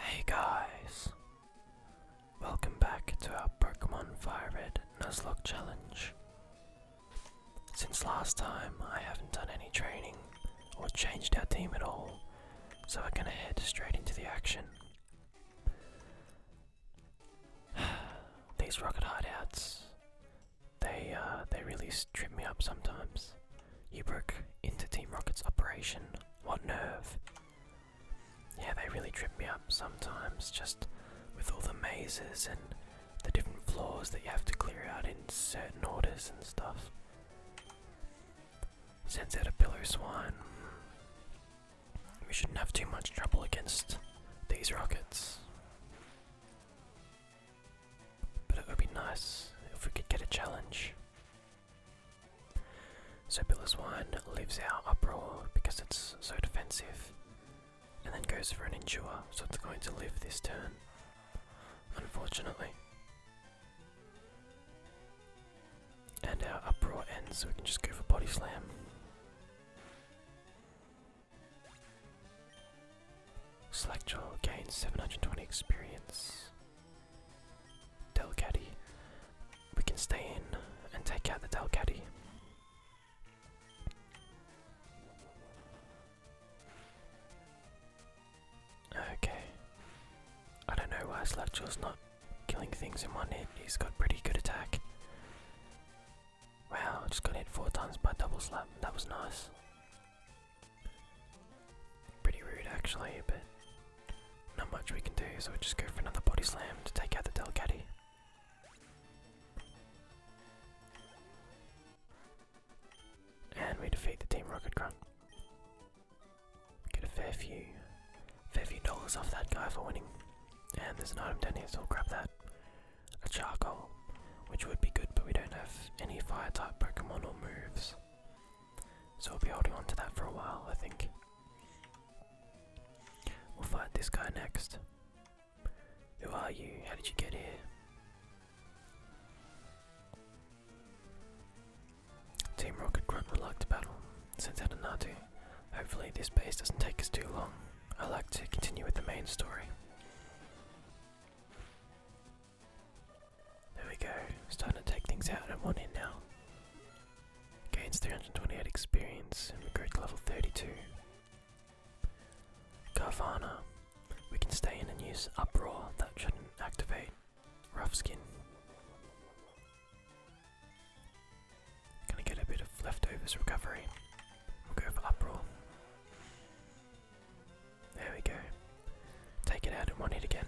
Hey guys! Welcome back to our Pokemon Fire Red Nuzlocke Challenge. Since last time, I haven't done any training, or changed our team at all, so we're gonna head straight into the action. These rocket hideouts, they uh, they really trip me up sometimes. You broke into Team Rocket's operation. What nerve! Yeah, they really trip me up sometimes, just with all the mazes and the different floors that you have to clear out in certain orders and stuff. Sends out a pillar swan. We shouldn't have too much trouble against these rockets. But it would be nice if we could get a challenge. So Pillar Swine leaves our uproar because it's so defensive, and then goes for an endure, so it's going to live this turn. Unfortunately. And our uproar ends, so we can just go for body slam. Slackjaw gains 720 experience. Delcaddy. We can stay in and take out the Delcaddy. Okay. I don't know why Slavchil's not killing things in one hit. He's got pretty good attack. Wow, just got hit four times by double slap. That was nice. Pretty rude actually, but not much we can do, so we just go for another body slam to take out the Delcatty. And we defeat the Team Rocket Grunt. Get a fair few, fair few dollars off that guy for winning. And there's an item down here, so grab that. A charcoal, which would be good, but we don't have any fire type Pokemon or moves. So we'll be holding on to that for a while, I think. We'll fight this guy next. Who are you? How did you get here? Team Rocket Grunt would like to battle, sends out a Natu. Hopefully this base doesn't take us too long. I would like to continue with the main story. There we go, starting to take things out at 1 in now. Gains 328 experience and we grew to level 32. Carvana, we can stay in and use Uproar, that shouldn't activate Rough Skin. Gonna get a bit of leftovers recovery. We'll go for Uproar. There we go. Take it out and run it again.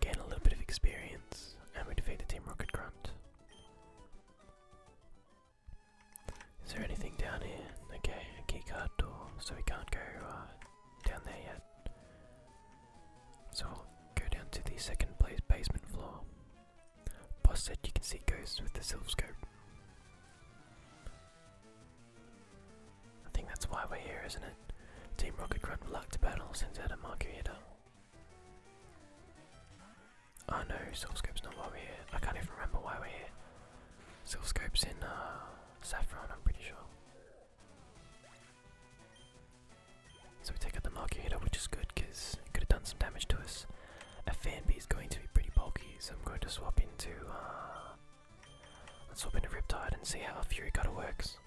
Gain a little bit of experience, and we defeat the Team Rocket Grunt. Is there anything down here? Okay, a keycard door, so we can't go uh, down there yet. So we'll go down to the second place basement floor. Boss said you can see ghosts with the silver I think that's why we're here, isn't it? Team Rocket Grunt luck to battle sends out a Marguerita. Oh no, Silver Scope's not why we're here. I can't even remember why we're here. Silver in uh, Saffron, I'm pretty sure. So we take out the Marketer, which is good because it could have done some damage to us. A Fanby is going to be pretty bulky, so I'm going to swap into. Uh, let's swap into Riptide and see how Fury Cutter works.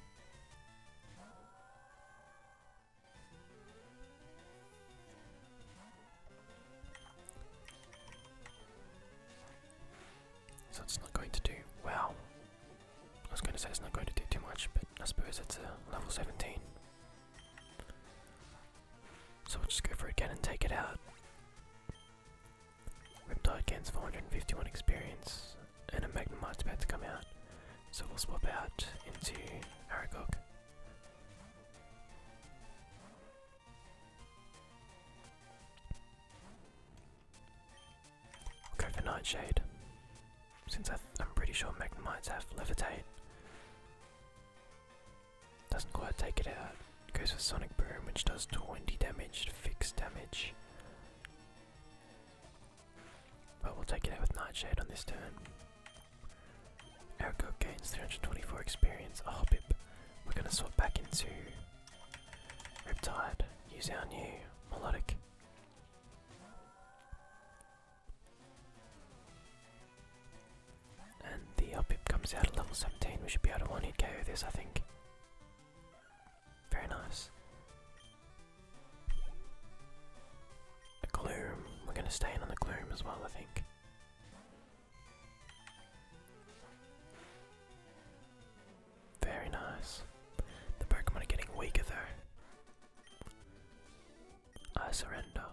So it's not going to do well. I was going to say it's not going to do too much, but I suppose it's a level 17. So we'll just go for it again and take it out. Riptide gains 451 experience, and a Magnemite's about to come out. So we'll swap out into Aragog go for Nightshade, since I'm pretty sure Magnemites has Levitate. Doesn't quite take it out. Goes for Sonic Boom, which does 20 damage, fixed damage. But we'll take it out with Nightshade on this turn. Our gains 324 experience. Oh, Hopip. We're going to swap back into Riptide, use our new melodic. And the Upip comes out at level 17. We should be able to one hit KO this, I think. Very nice. A Gloom. We're going to stay in on the Gloom as well, I think. Very nice. The Pokemon are getting weaker though. I surrender.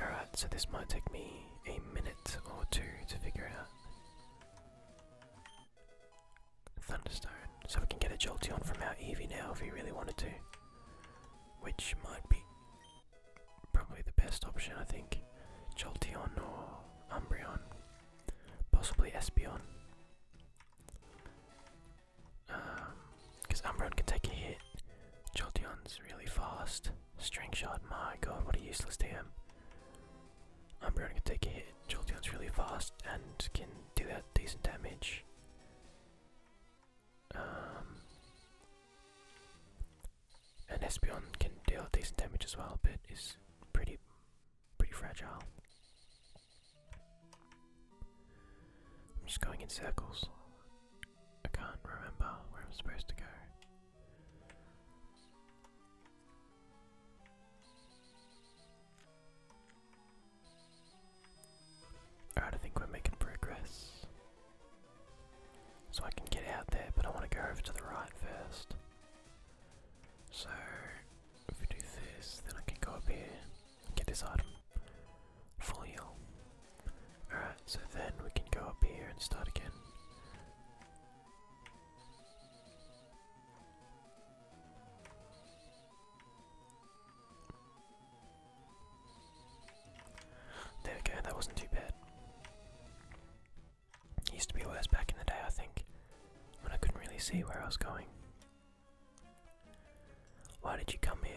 Alright, so this might take me a minute or two to figure out. Thunderstone. So we can get a jolt on from our Eevee now if we really wanted to. Which might be probably the best option, I think. Joltion or Umbreon, possibly Espeon. Because um, Umbreon can take a hit. Joltion's really fast. String Shot, my god, what a useless TM. Umbreon can take a hit. Jolteon's really fast and can do that decent damage. Um, an Espeon can deal decent damage as well, but is pretty pretty fragile. I'm just going in circles. I can't remember where I'm supposed to go. Alright, I think we're making progress. So I can get out there, but I want to go over to the right first. So if we do this, then I can go up here get this item. Full heal. Alright, so then we can go up here and start again. There we go, that wasn't too bad. used to be worse back in the day, I think, when I couldn't really see where I was going. Why did you come here?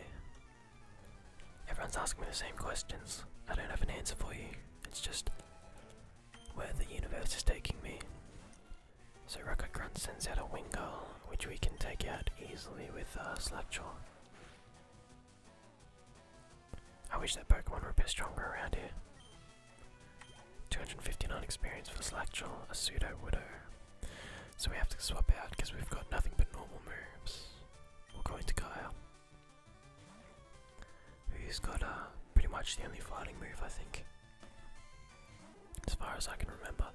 Everyone's asking me the same questions. I don't have an answer for you. It's just where the universe is taking me. So Rocket Grunt sends out a Wingull, which we can take out easily with uh, Slapjaw. I wish that Pokemon were a bit stronger around here. 259 experience for Slackjaw, a pseudo Widow. So we have to swap out because we've got nothing but normal moves. We'll go into Kyle. Who's got uh, pretty much the only fighting move, I think. As far as I can remember.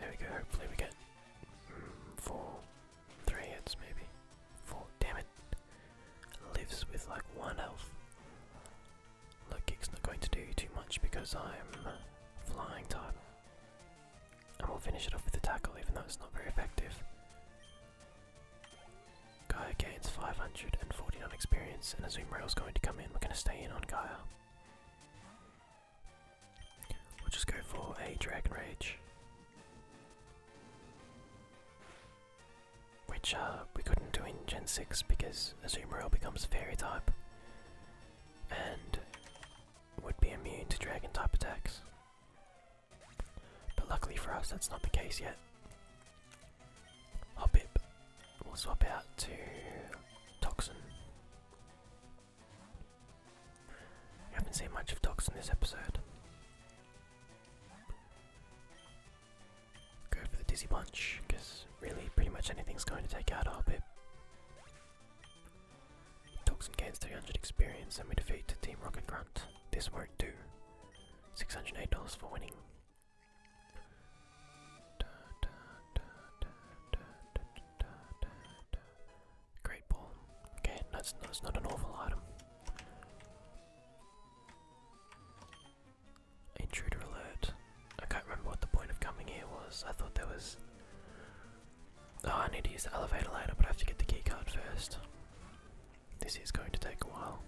There we go, hopefully we get mm, four, three hits maybe. Four, damn it. Lives with like one health. Look, kick's not going to do too much because I'm flying time, And we'll finish it off with a tackle even though it's not very effective. Gaia gains 549 experience, and Azumarill is going to come in. We're going to stay in on Gaia. We'll just go for a Dragon Rage. Which uh, we couldn't do in Gen 6 because Azumarill becomes Fairy type and would be immune to Dragon type attacks. But luckily for us, that's not the case yet. Hobbit. We'll swap out to Toxin. We haven't seen much of Toxin this episode. Go for the Dizzy Punch, because really pretty much anything's going to take out a Hobbit. Toxin gains 300 experience and we defeat Team Rocket Grunt. This won't do. $608 for winning. Great ball. Okay, that's, not an awful item. Intruder alert. I can't remember what the point of coming here was. I thought there was. Oh, I need to use the elevator later, but I have to get the keycard first. This is going to take a while.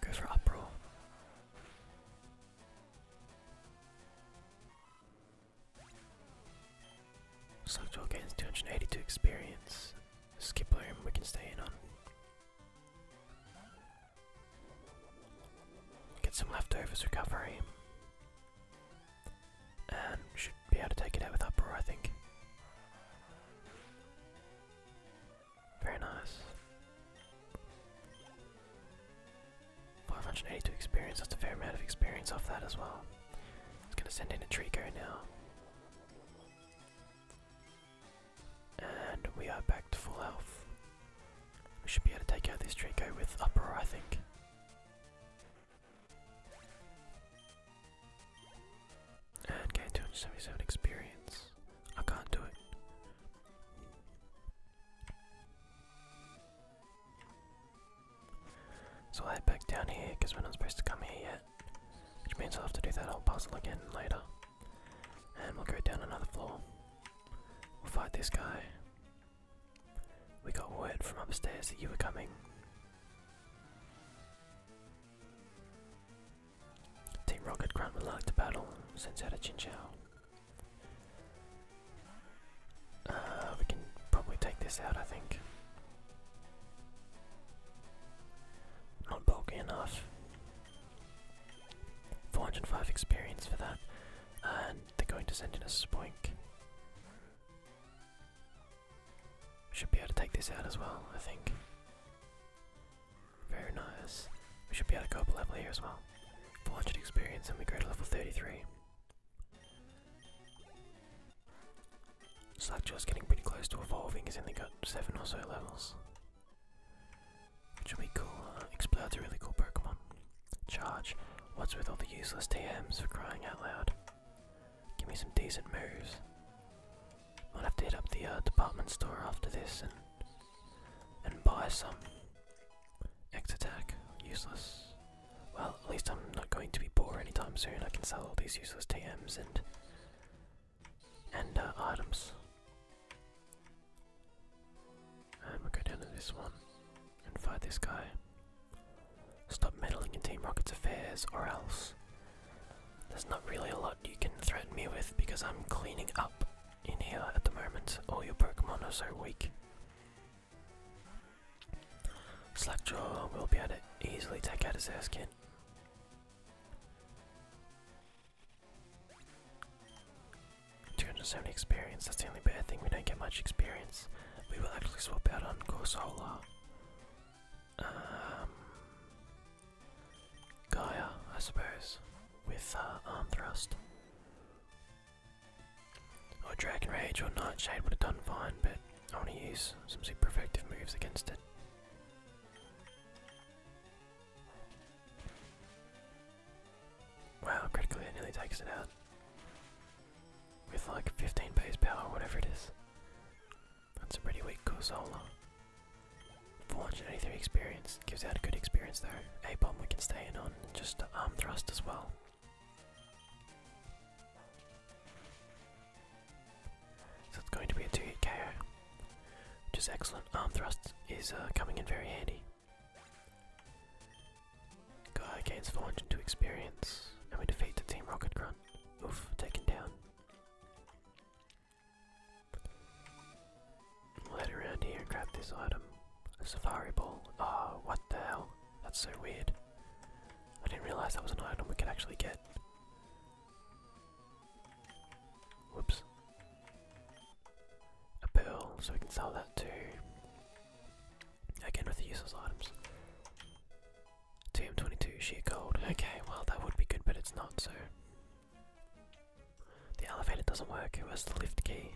Go for uproar. Slugjaw gains 282 experience. Skip home, we can stay in on. Get some leftovers recovery. And should be able to take it out with uproar, I think. Very nice. 582 experience, that's a fair amount of experience off that as well. It's gonna send in a Trico now. And we are back to full health. We should be able to take out this Trico with Uproar, I think and gain 277 experience. I can't do it. So I'll head back down here because we're not supposed to come here yet, which means I'll have to do that whole puzzle again later. And we'll go down another floor. We'll fight this guy. We got word from upstairs that you were coming. Team Rocket Grunt would like to battle, sends out a Chinchou. Uh, we can probably take this out, I think. Not bulky enough. 405 experience for that. And they're going to send in a Spoink. Should be able to take this out as well, I think. Very nice. We should be able to go up a level here as well. 400 experience and we go to level 33. Slackjaw's getting pretty close to evolving, he's only got 7 or so levels. Which will be cool. Uh, a really cool Pokemon. Charge. What's with all the useless TMs for crying out loud? Give me some decent moves. I'll have to head up the uh, department store after this and and buy some. X attack, useless. Well, at least I'm not going to be poor anytime soon. I can sell all these useless TMs and and uh, items. And we'll go down to this one and fight this guy. Stop meddling in Team Rocket's affairs, or else there's not really a lot you can threaten me with because I'm cleaning up in here at the moment. All your Pokemon are so weak. Slackjaw will be able to easily take out his Zaskin. Two hundred seventy experience. That's the only bad thing. We don't get much experience. We will actually swap out on Corsola. Um, Gaia, I suppose, with uh, arm thrust. Or Dragon Rage or Nightshade would have done fine, but I want to use some super effective moves against it. Wow, critically it nearly takes it out. With like 15 base power, whatever it is. That's a pretty weak Gorzola. 483 experience. Gives out a good experience there. A-bomb we can stay in on, just arm thrust as well. So it's going to be a 2-hit KO. Which is excellent. Arm thrust is uh, coming in very handy. Guy gains 402 experience, and we defeat the Team Rocket Grunt. Oof, taken down. Let around here and grab this item. A safari ball. Oh, what the hell? That's so weird. I didn't realize that was an item we could actually get. Whoops. A pearl, so we can sell that too. Again with the useless items. TM22 sheer gold. Okay, well that would be good, but it's not, so the elevator doesn't work, it was the lift key.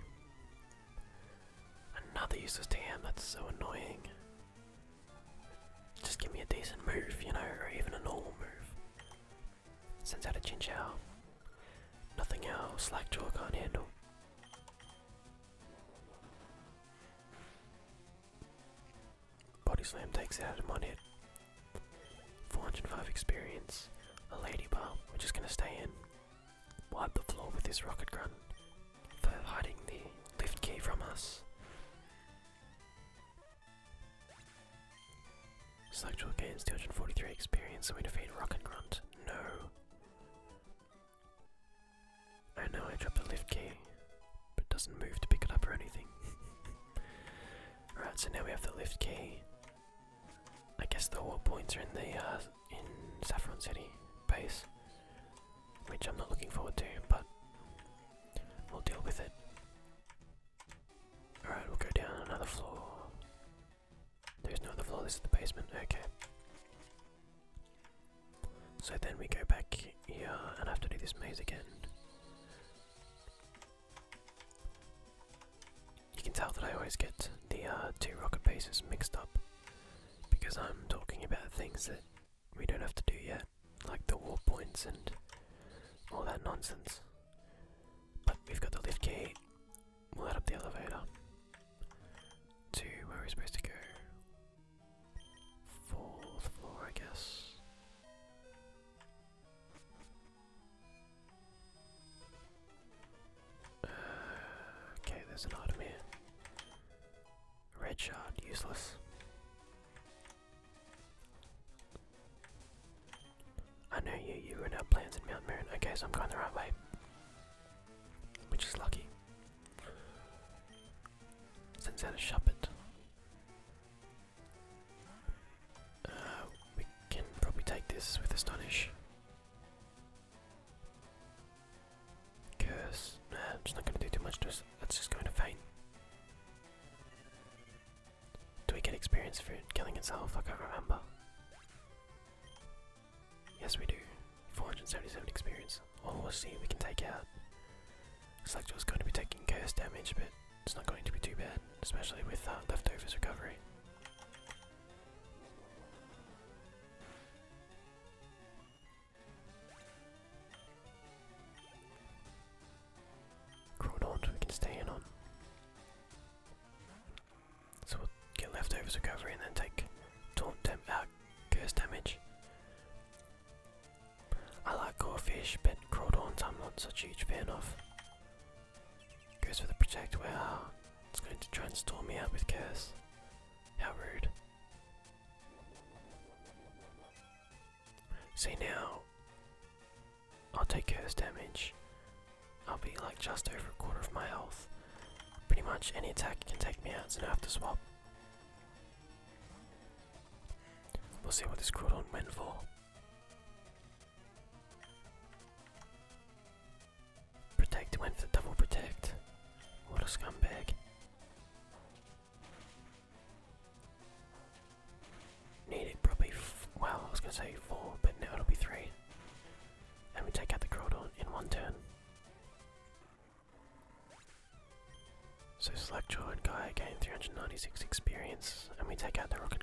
Another useless TM, that's so annoying. Just give me a decent move, you know, or even a normal move. Sends out a Chinchou. Nothing else, Slackjaw can't handle. Body Slam takes it out of one hit. 405 experience. A lady bar, we're just gonna stay in. Wipe the floor with this rocket grunt for hiding the lift key from us. Selectual gains 243 experience So we defeat Rocket Grunt. No. I know I dropped the lift key, but it doesn't move to pick it up or anything. Alright, so now we have the lift key. I guess the war points are in the uh, in Saffron City base, which I'm not looking forward to, but we'll deal with it. Alright, we'll go down another floor. There's no other floor, this is the basement, okay. So then we go back here and have to do this maze again. You can tell that I always get the uh, two rocket pieces mixed up because I'm talking about things that we don't have to do yet, like the war points and all that nonsense. But we've got the lift key, we'll add up the elevator to where we're supposed to go. Fourth floor, I guess. okay, there's an item here. Red shard, useless. I know you, you ruined our plans in Mount Moon. Okay, so I'm going the right way. Which is lucky. Since Sends out a it. Uh, we can probably take this with Astonish. Curse. Nah, it's not going to do too much to us. That's just going to faint. Do we get experience for killing itself? I can't remember. Yes, we do. 477 experience. Oh, we'll see. We can take out. Looks like it was going to be taking curse damage, but it's not going to be too bad, especially with uh, leftovers recovery. Crawdaunt we can stay in on. So we'll get leftovers recovery and then take taunt temp uh, curse damage. I like crawfish, but crawdons i not such a huge fan of. Goes for the protect. it's going to try and storm me out with curse. How rude. See now, I'll take curse damage. I'll be like just over a quarter of my health. Pretty much any attack can take me out, so I have to swap. We'll see what this crawdon went for. Protect went for double protect. What a scumbag. Need it probably, well, I was gonna say four, but now it'll be three. And we take out the Crodon in one turn. So Slackjaw and Gaia gain 396 experience, and we take out the Rocket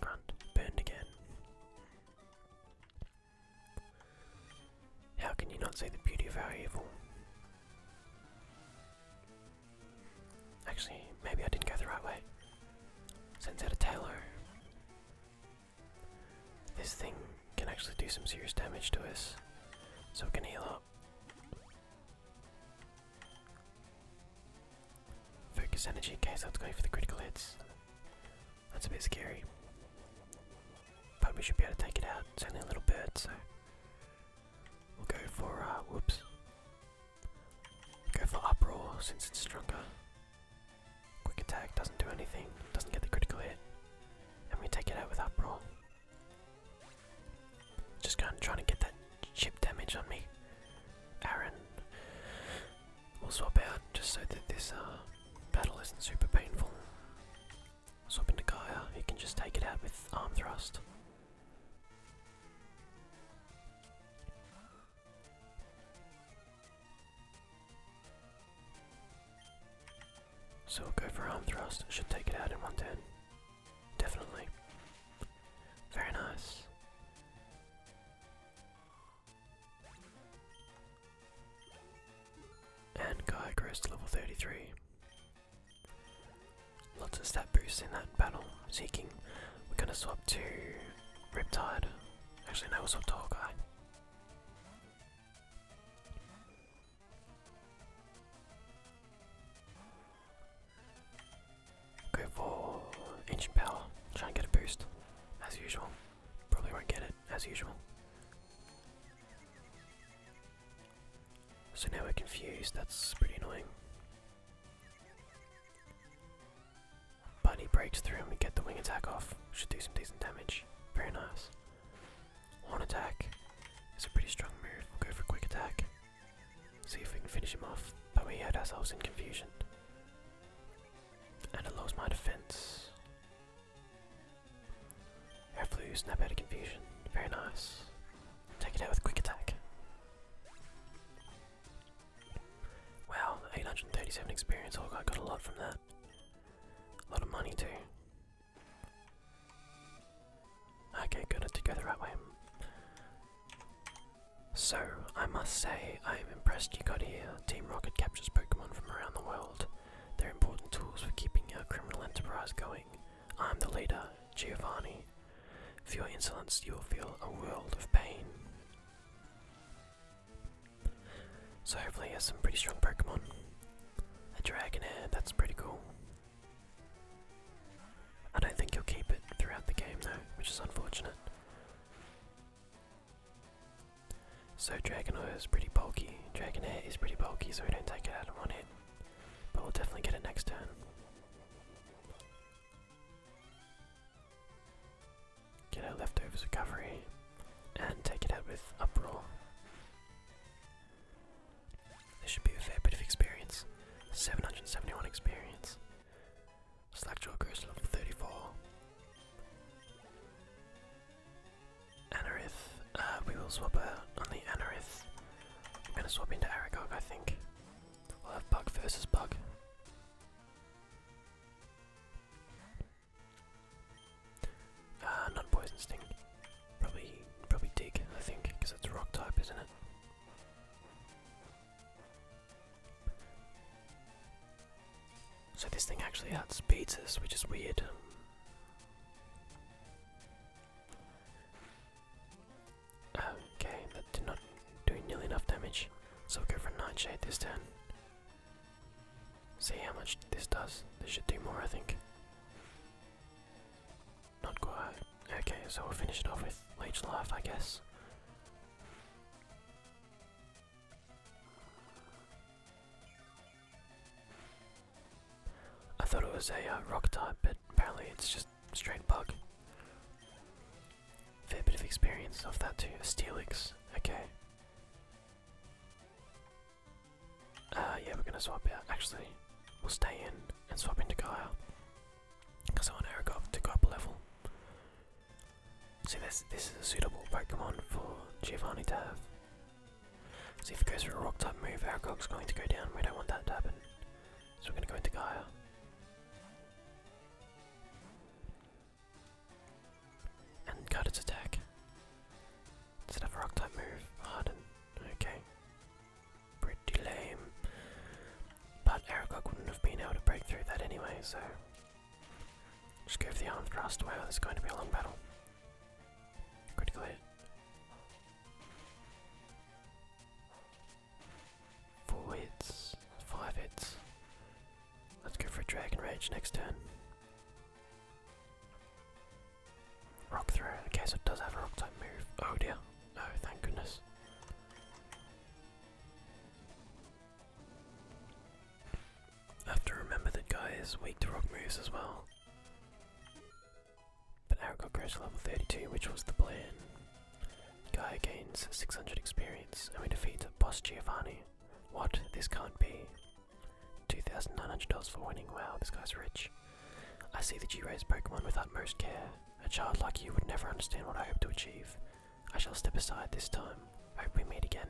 Burned again. How can you not see the beauty of our evil? Actually, maybe I didn't go the right way. Sends out a Taylor. This thing can actually do some serious damage to us, so we can heal up. Focus energy, okay, so that's going for the critical hits. That's a bit scary. But we should be able to take it out. It's only a little bird, so we'll go for uh whoops. Go for uproar since it's stronger. Quick attack doesn't do anything, doesn't get the critical hit. And we take it out with uproar. Just kind of trying to get that chip damage on me. Aaron. We'll swap out just so that this uh, battle isn't super painful. Swap into Gaia, he can just take it out with arm thrust. So we'll go for arm thrust, should take it out in one turn. Definitely. Very nice. And Guy grows to level 33. Lots of stat boosts in that battle. Seeking. We're gonna swap to Riptide. Actually, no, we'll swap to Hawkeye. Go for ancient power. Try and get a boost, as usual. Probably won't get it, as usual. So now we're confused, that's pretty annoying. But he breaks through and we get the wing attack off. Should do some decent damage. Very nice. One attack is a pretty strong move. we go for quick attack. See if we can finish him off, but we had ourselves in confusion. And it lost my defense. Hopefully snap out of confusion. Very nice. Take it out with quick attack. Wow, 837 experience, oh, I got a lot from that. A lot of money too. Okay, good, I did go the right way. So, I must say, I am impressed you got here. Team Rocket captures Pokemon from around the world. They're important tools for keeping our criminal enterprise going. I'm the leader, Giovanni. For your insolence, you will feel a world of pain. So, hopefully, he has some pretty strong Pokemon. A Dragonair, that's pretty cool. I don't think you'll keep it throughout the game though, which is unfortunate. So Dragon is pretty bulky, Dragonite is pretty bulky, so we don't take it out in one hit. But we'll definitely get it next turn. Get our leftovers recovery and take it out with Uproar. This should be a fair bit of experience. 771 experience. Slackjaw goes level 34. Anorith, uh, we will swap out on the Anorith. I'm gonna swap into Aragog, I think. We'll have Bug versus Bug. Uh, not Poison Sting. Probably, probably Dig, I think, because that's Rock type, isn't it? So this thing actually outspeeds pizzas, which is weird. Okay, that did not do nearly enough damage. So we for Nightshade this turn. See how much this does. This should do more, I think. Not quite. Okay, so we'll finish it off with Leech Life, I guess. I thought it was a uh, rock type, but apparently it's just straight bug. Fair bit of experience off that too. Steelix, okay. Uh, yeah, we're gonna swap out. Actually, we'll stay in and swap into Gaia because I want Aragog to go up a level. See, this this is a suitable Pokemon for Giovanni to have. See, if it goes for a rock type move, Aragog's going to go down. We don't want that to happen. So we're going to go into Gaia. And cut its attack. Does it a rock type move? Harden. Okay. Pretty lame. But Aragog wouldn't have been able to break through that anyway, so. Just go for the arm thrust. away. this is going to be a long battle. Critical hit. Four hits, five hits. Let's go for a Dragon Rage next turn. Rock throw. Okay, so it does have a rock type move. Oh dear. Oh, thank goodness. I have to remember that guy is weak to rock moves as well. But got goes to level 32, which was the plan. Guy gains 600 experience, and we defeat Boss Giovanni. What? This can't be. $2,900 for winning. Wow, this guy's rich. I see that you raise Pokemon with utmost care. A child like you would never understand what I hope to achieve. I shall step aside this time. Hope we meet again.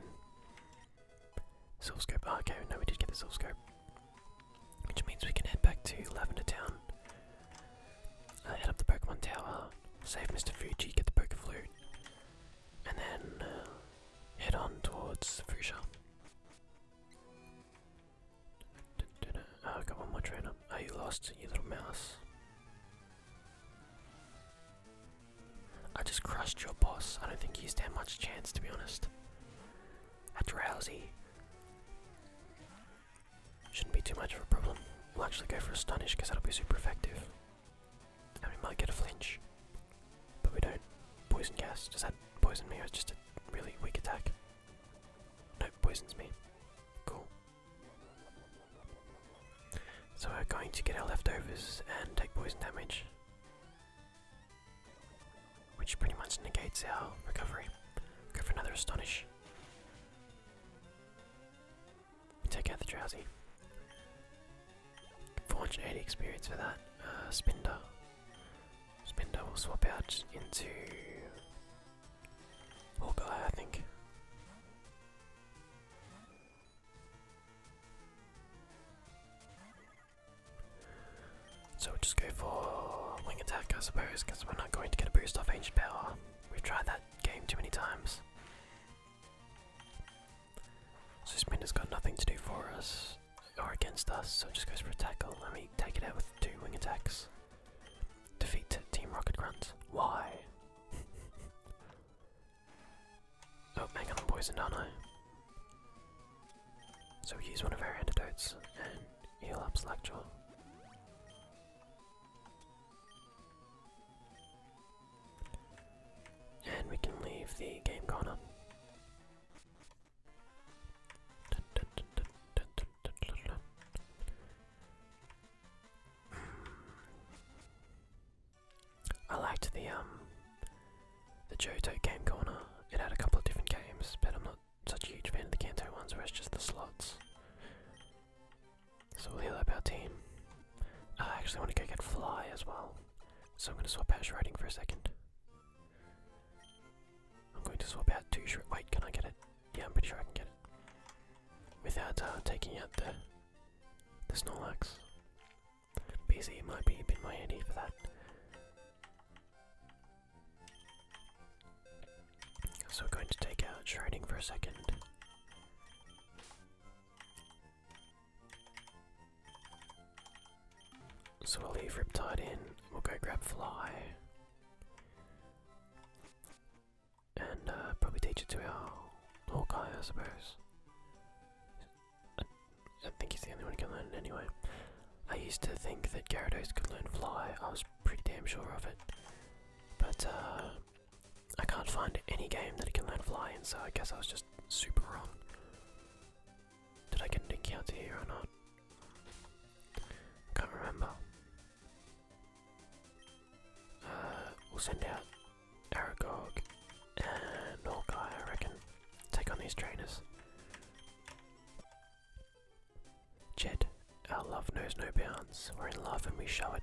Silver scope. Oh, no, we did get the silver scope, which means we can head back to Lavender Town. Uh, head up the Pokemon Tower, save Mr. Fuji, get the Poke Flute, and then uh, head on towards Fuchsia. Oh, ah, I got one more trainer. Are you lost, you little mouse? I just crushed your boss. I don't think he stand much chance, to be honest. That's drowsy. Shouldn't be too much of a problem. We'll actually go for a stunish because that'll be super effective. And we might get a flinch. But we don't. Poison gas. Does that poison me or it's just a really weak attack? No, nope, poisons me. Cool. So we're going to get our leftovers and take poison damage. Which pretty much negates our recovery. Go for another astonish. We take out the drowsy. 480 experience for that. Uh, Spinner will swap out into Oh will I think. So we just go for wing attack, I suppose, because we're not going to get a boost off ancient power. We've tried that game too many times. So this has got nothing to do for us or against us, so it just goes for a tackle. Oh, let me take it out with two wing attacks. Defeat Team Rocket Grunt. Why? oh, Megan on, i poisoned, aren't I? So we use one of our antidotes and heal up Slackjaw. And we can leave the game corner. I liked the um, the Johto game corner. It had a couple of different games, but I'm not such a huge fan of the Kanto ones where it's just the slots. So we'll heal up our team. Uh, I actually want to go get Fly as well. So I'm going to swap out Shredding for a second. I'm going to swap out two Shred- wait, can I get it? Yeah, I'm pretty sure I can get it. Without uh, taking out the, the Snorlax. BZ might be a bit more handy for that. So going to take out Shrouding for a second. So we'll leave Riptide in, we'll go grab Fly and uh, probably teach it to our Hawkeye, I suppose. I, think he's the only one who can learn it anyway. I used to think that Gyarados could learn Fly, I was pretty damn sure of it. But uh, I can't find any game that it can learn Fly in, so I guess I was just super wrong. Did I get an encounter here or not? Can't remember. Uh, we'll send out Aragog and Hawkeye, I reckon. Take on these trainers. Jed, our love knows no bounds. We're in love and we show it.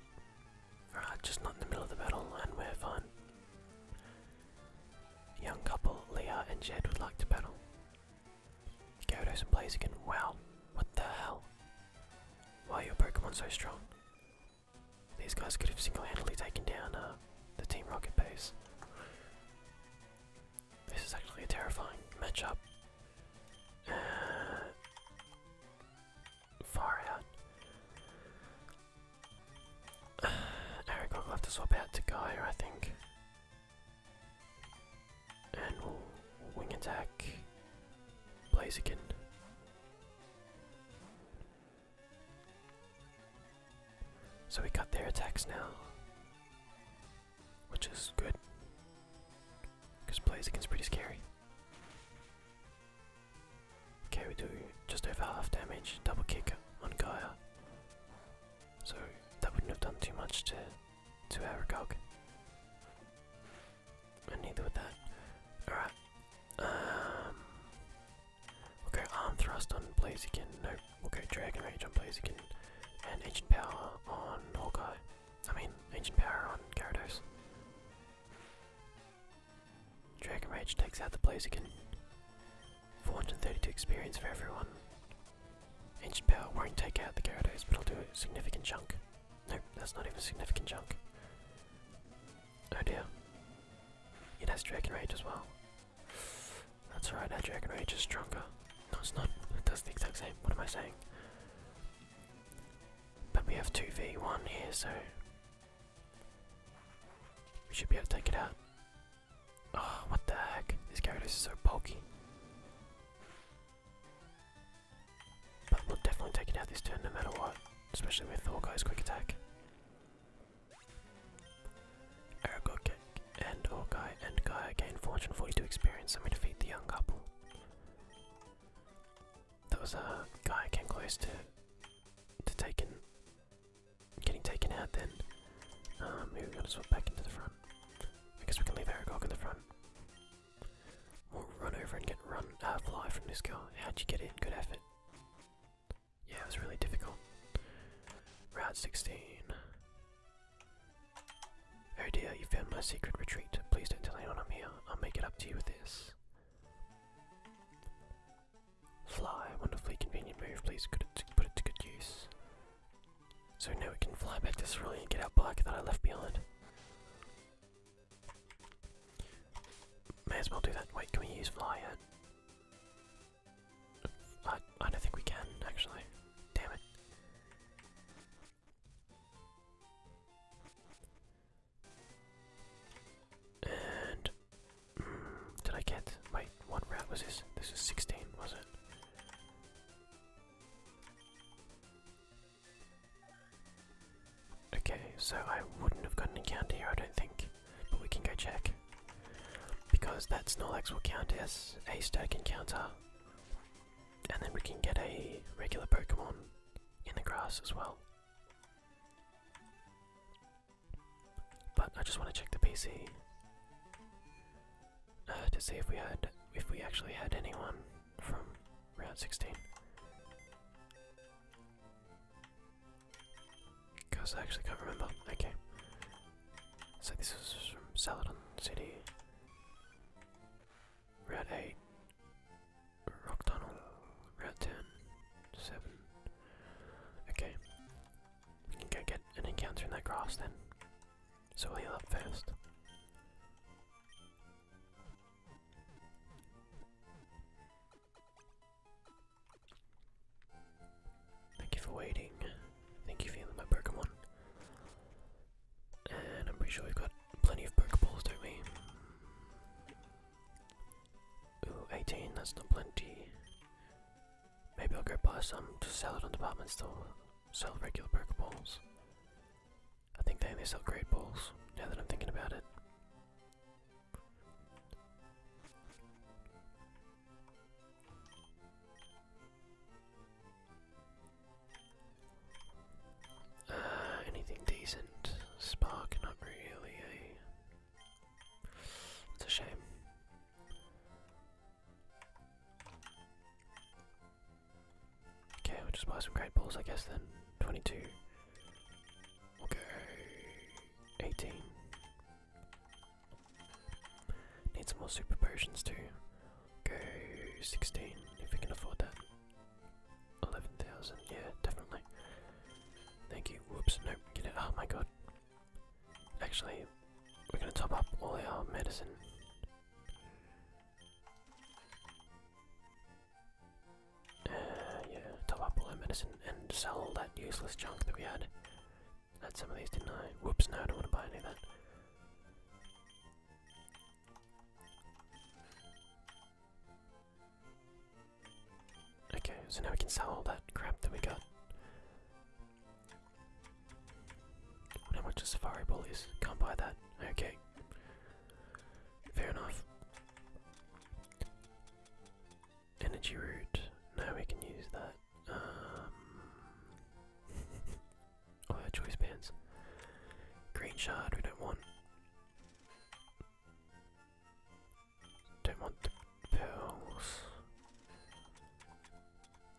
Alright, uh, just not in the middle of the battle, and we're fine. Young couple, Leah and Jed, would like to battle. Go to some and again. wow, what the hell? Why are your Pokemon so strong? These guys could have single-handedly taken down uh, the Team Rocket base. This is actually a terrifying matchup. Uh, far out. Uh, Aragog will have to swap out to Gaia, I think and we wing attack Blaziken. So we got their attacks now, which is good, because Blaziken's pretty scary. Okay, we do just over half damage, double kick on Gaia. So that wouldn't have done too much to to Aragog. And neither with that. Alright. Um we arm thrust on Blaziken. No, we'll Dragon Rage on blaze again, And Ancient Power on Hawkeye. I mean Ancient Power on Gyarados. Dragon Rage takes out the blaze again. 432 experience for everyone. Ancient Power won't take out the Gyarados, but it'll do a significant chunk. Nope, that's not even significant junk. Oh dear. It has Dragon Rage as well. That's right, our Dragon Rage is stronger. No, it's not. It does the exact same. What am I saying? But we have 2v1 here, so. We should be able to take it out. Oh, what the heck? This Gyarados is so poky. But we'll definitely take out this turn no matter what, especially with Hawkeye's quick attack. Aragog and Hawkeye and guy gain 442 experience and we defeat the young couple. That was a uh, guy Gaia came close to to taking getting taken out then. Um, maybe we're gonna swap back into the front. I guess we can leave Aragog in the front run over and get run, uh, fly from this car. How'd you get in? Good effort. Yeah, it was really difficult. Route 16. Oh dear, you found my secret retreat. Please don't tell anyone I'm here. I'll make it up to you with this. Fly, wonderfully convenient move. Please could it put it to good use. So now we can fly back to Cerulean and get our bike that I left behind. May as well do that. Wait, can we use fly yet? I, I don't think we can, actually. Damn it. And mm, did I get? Wait, what route was this? This was sixteen, was it? Okay, so I wouldn't have got an encounter here, I don't think. But we can go check. Because that Snorlax will count as a static encounter. And then we can get a regular Pokemon in the grass as well. But I just want to check the PC uh, to see if we had if we actually had anyone from round 16. Because I actually can't remember. Okay. So this was from Saladin City. Route 8. Rock Tunnel. Route 10. Okay. We can get an encounter in that grass then. So will heal up first. Thank you for waiting. Thank you for healing my Pokemon. And I'm pretty sure we've got plenty of Pokeballs, don't we? Ooh, 18, that's not plenty. Maybe I'll get by some to sell it on the department store. Sell regular Pokeballs. I think they only sell great balls, now that I'm thinking about it. Uh, anything decent? Spark, not really, eh? It's a shame. Okay, we'll just buy some great balls, I guess, then. 22. we 18. Need some more super potions, too. Okay, 16, if we can afford that. 11,000, yeah, definitely. Thank you. Whoops, nope, get it. Oh my god. Actually, we're gonna top up all our medicine. Uh, yeah, top up all our medicine and sell all that useless junk that we had. Had some of these, didn't I? Whoops, no, I don't want to buy any of that. Okay, so now we can sell all that crap that we got. how much is safari bullies? Can't buy that. Okay. Fair enough. Energy root. Now we can use that. oh, choice bands. Green shard. We don't want. Don't want the pearls.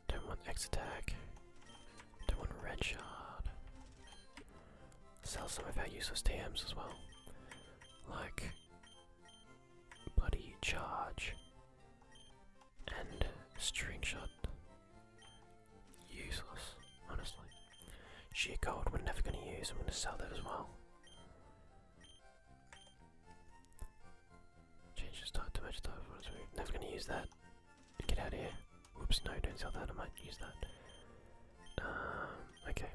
Don't want X attack. Don't want red shard sell some of our useless TMs as well. Like bloody charge and string shot. Useless, honestly. Sheer gold we're never gonna use, I'm gonna sell that as well. Change the start to match are never gonna use that. Get out of here. Oops, no, don't sell that, I might use that. Um, okay.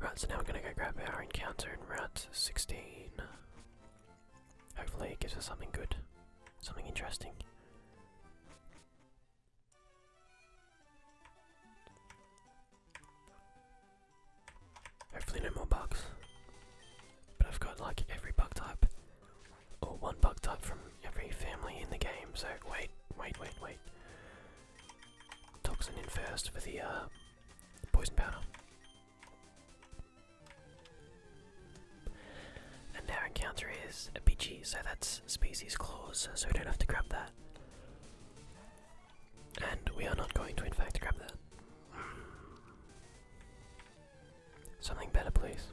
Right, so now we're gonna go grab our encounter in Route 16. Hopefully it gives us something good, something interesting. Hopefully no more bugs. But I've got like every bug type. Or one bucked up from every family in the game, so wait, wait, wait, wait. Toxin in first for the uh, poison powder. And our encounter is a Pidgey, so that's species claws, so we don't have to grab that. And we are not going to, in fact, grab that. Something better, please.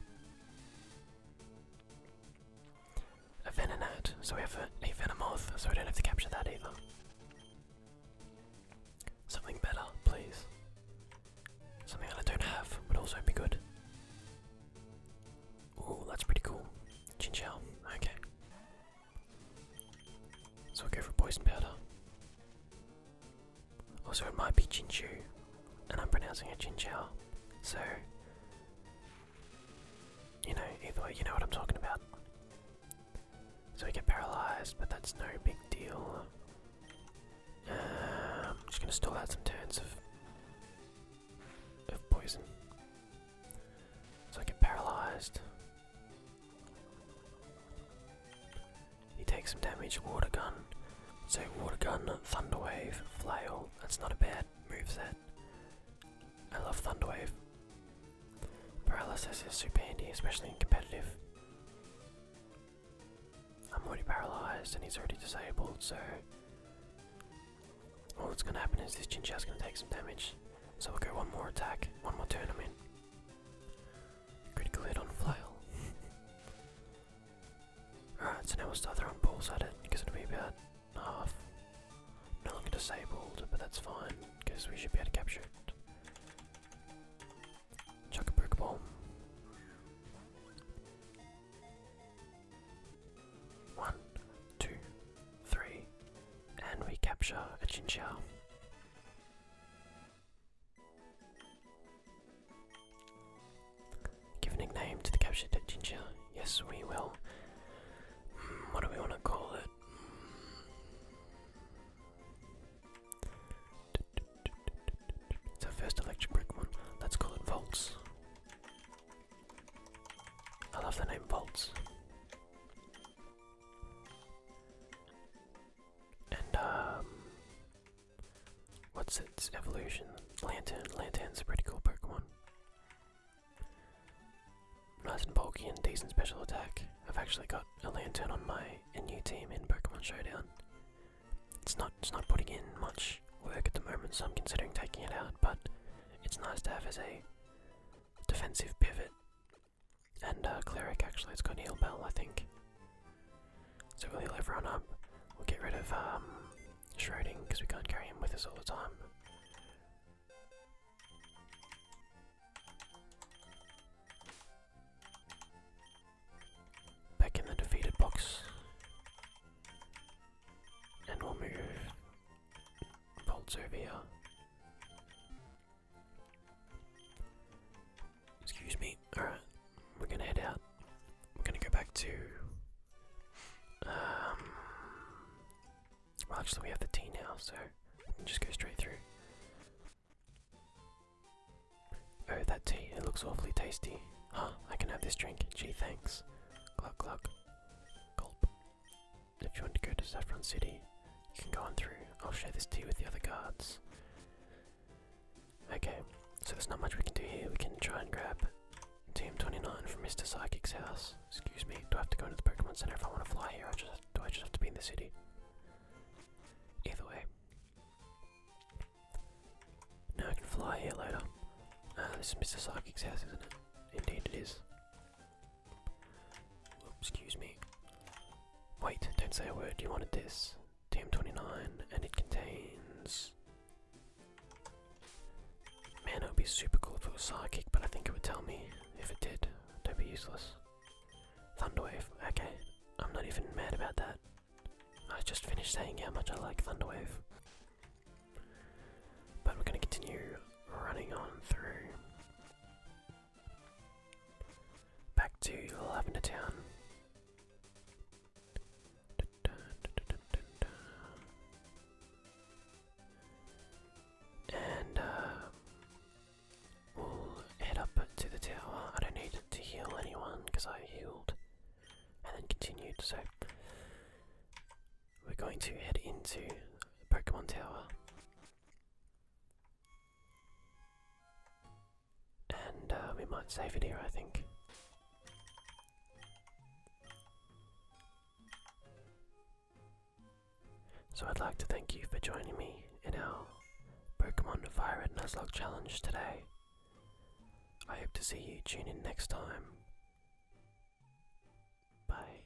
A Venonat, so we have a, a Venomoth, so we don't have to capture that either. Something better, please. Something that I don't have would also be good. Oh, that's pretty cool. Chinchou, okay. So we go for poison powder. Also, it might be Jinju, and I'm pronouncing it Jinjiao. So, you know, either way, you know what I'm talking about. So we get paralyzed, but that's no big deal. I'm um, just gonna stall out some turns of of poison. So I get paralyzed. He takes some damage. Water gun. So water gun, thunderwave, flail. That's not a bad moveset. I love thunderwave. Paralysis is super handy, especially in competitive. I'm already paralyzed and he's already disabled, so all that's gonna happen is this Chinchill's gonna take some damage. So we'll go one more attack, one more turn I'm in. Critical hit on flail. Alright, so now we'll start throwing balls at it, because it'll be about half. No longer disabled, but that's fine, because we should be able to capture it. Chuck a brick ball. One, two, three, and we capture a chinchilla. Give a nickname to the captured ginger. Yes, we will. Hmm, what do we want to call it? It's our first electric Pokemon. Let's call it Volts. I love the name Volts. And um, What's its evolution? Lantern. Lantern's a pretty cool Pokemon. Nice and bulky and decent special attack. I've actually got a lantern on my new team in Pokemon Showdown. It's not it's not putting in much work at the moment, so I'm considering taking it out, but it's nice to have as a defensive pivot. And uh, cleric actually, it's got heal bell, I think. So we'll heal everyone up. We'll get rid of um, Shrouding because we can't carry him with us all the time. Back in the defeated box. And we'll move Volts over here. Excuse me. Alright, we're gonna head out. We're gonna go back to. Um, well, actually, we have the tea now, so just go straight through. Oh, that tea, it looks awfully tasty. Huh, I can have this drink. Gee, thanks. Cluck, cluck. Gulp. If you want to go to Saffron City, you can go on through. I'll share this tea with the other guards. Okay, so there's not much we can do here. We can try and grab Team 29 from Mr. Psychic's house. Excuse me, do I have to go into the Pokemon Center if I want to fly here? do I just have to be in the city? Either way. Now I can fly here later. Ah, this is Mr. Psychic's house, isn't it? Indeed it is. excuse me. Wait, don't say a word. You wanted this. TM29, and it contains. Man, it would be super cool for a was Psychic, but I think it would tell me if it did. Don't be useless. Thunderwave, okay. I'm not even mad about that. I just finished saying how much I like Thunderwave. But we're going to continue running on through. Back to Lavender Town. And uh, we'll head up to the tower. I don't need to heal anyone because I healed and then continued. So we're going to head into the Pokemon Tower. And uh, we might save it here, I think. So I'd like to thank you for joining me in our Pokemon Fire Red Nuzlocke challenge today. I hope to see you tune in next time. Bye.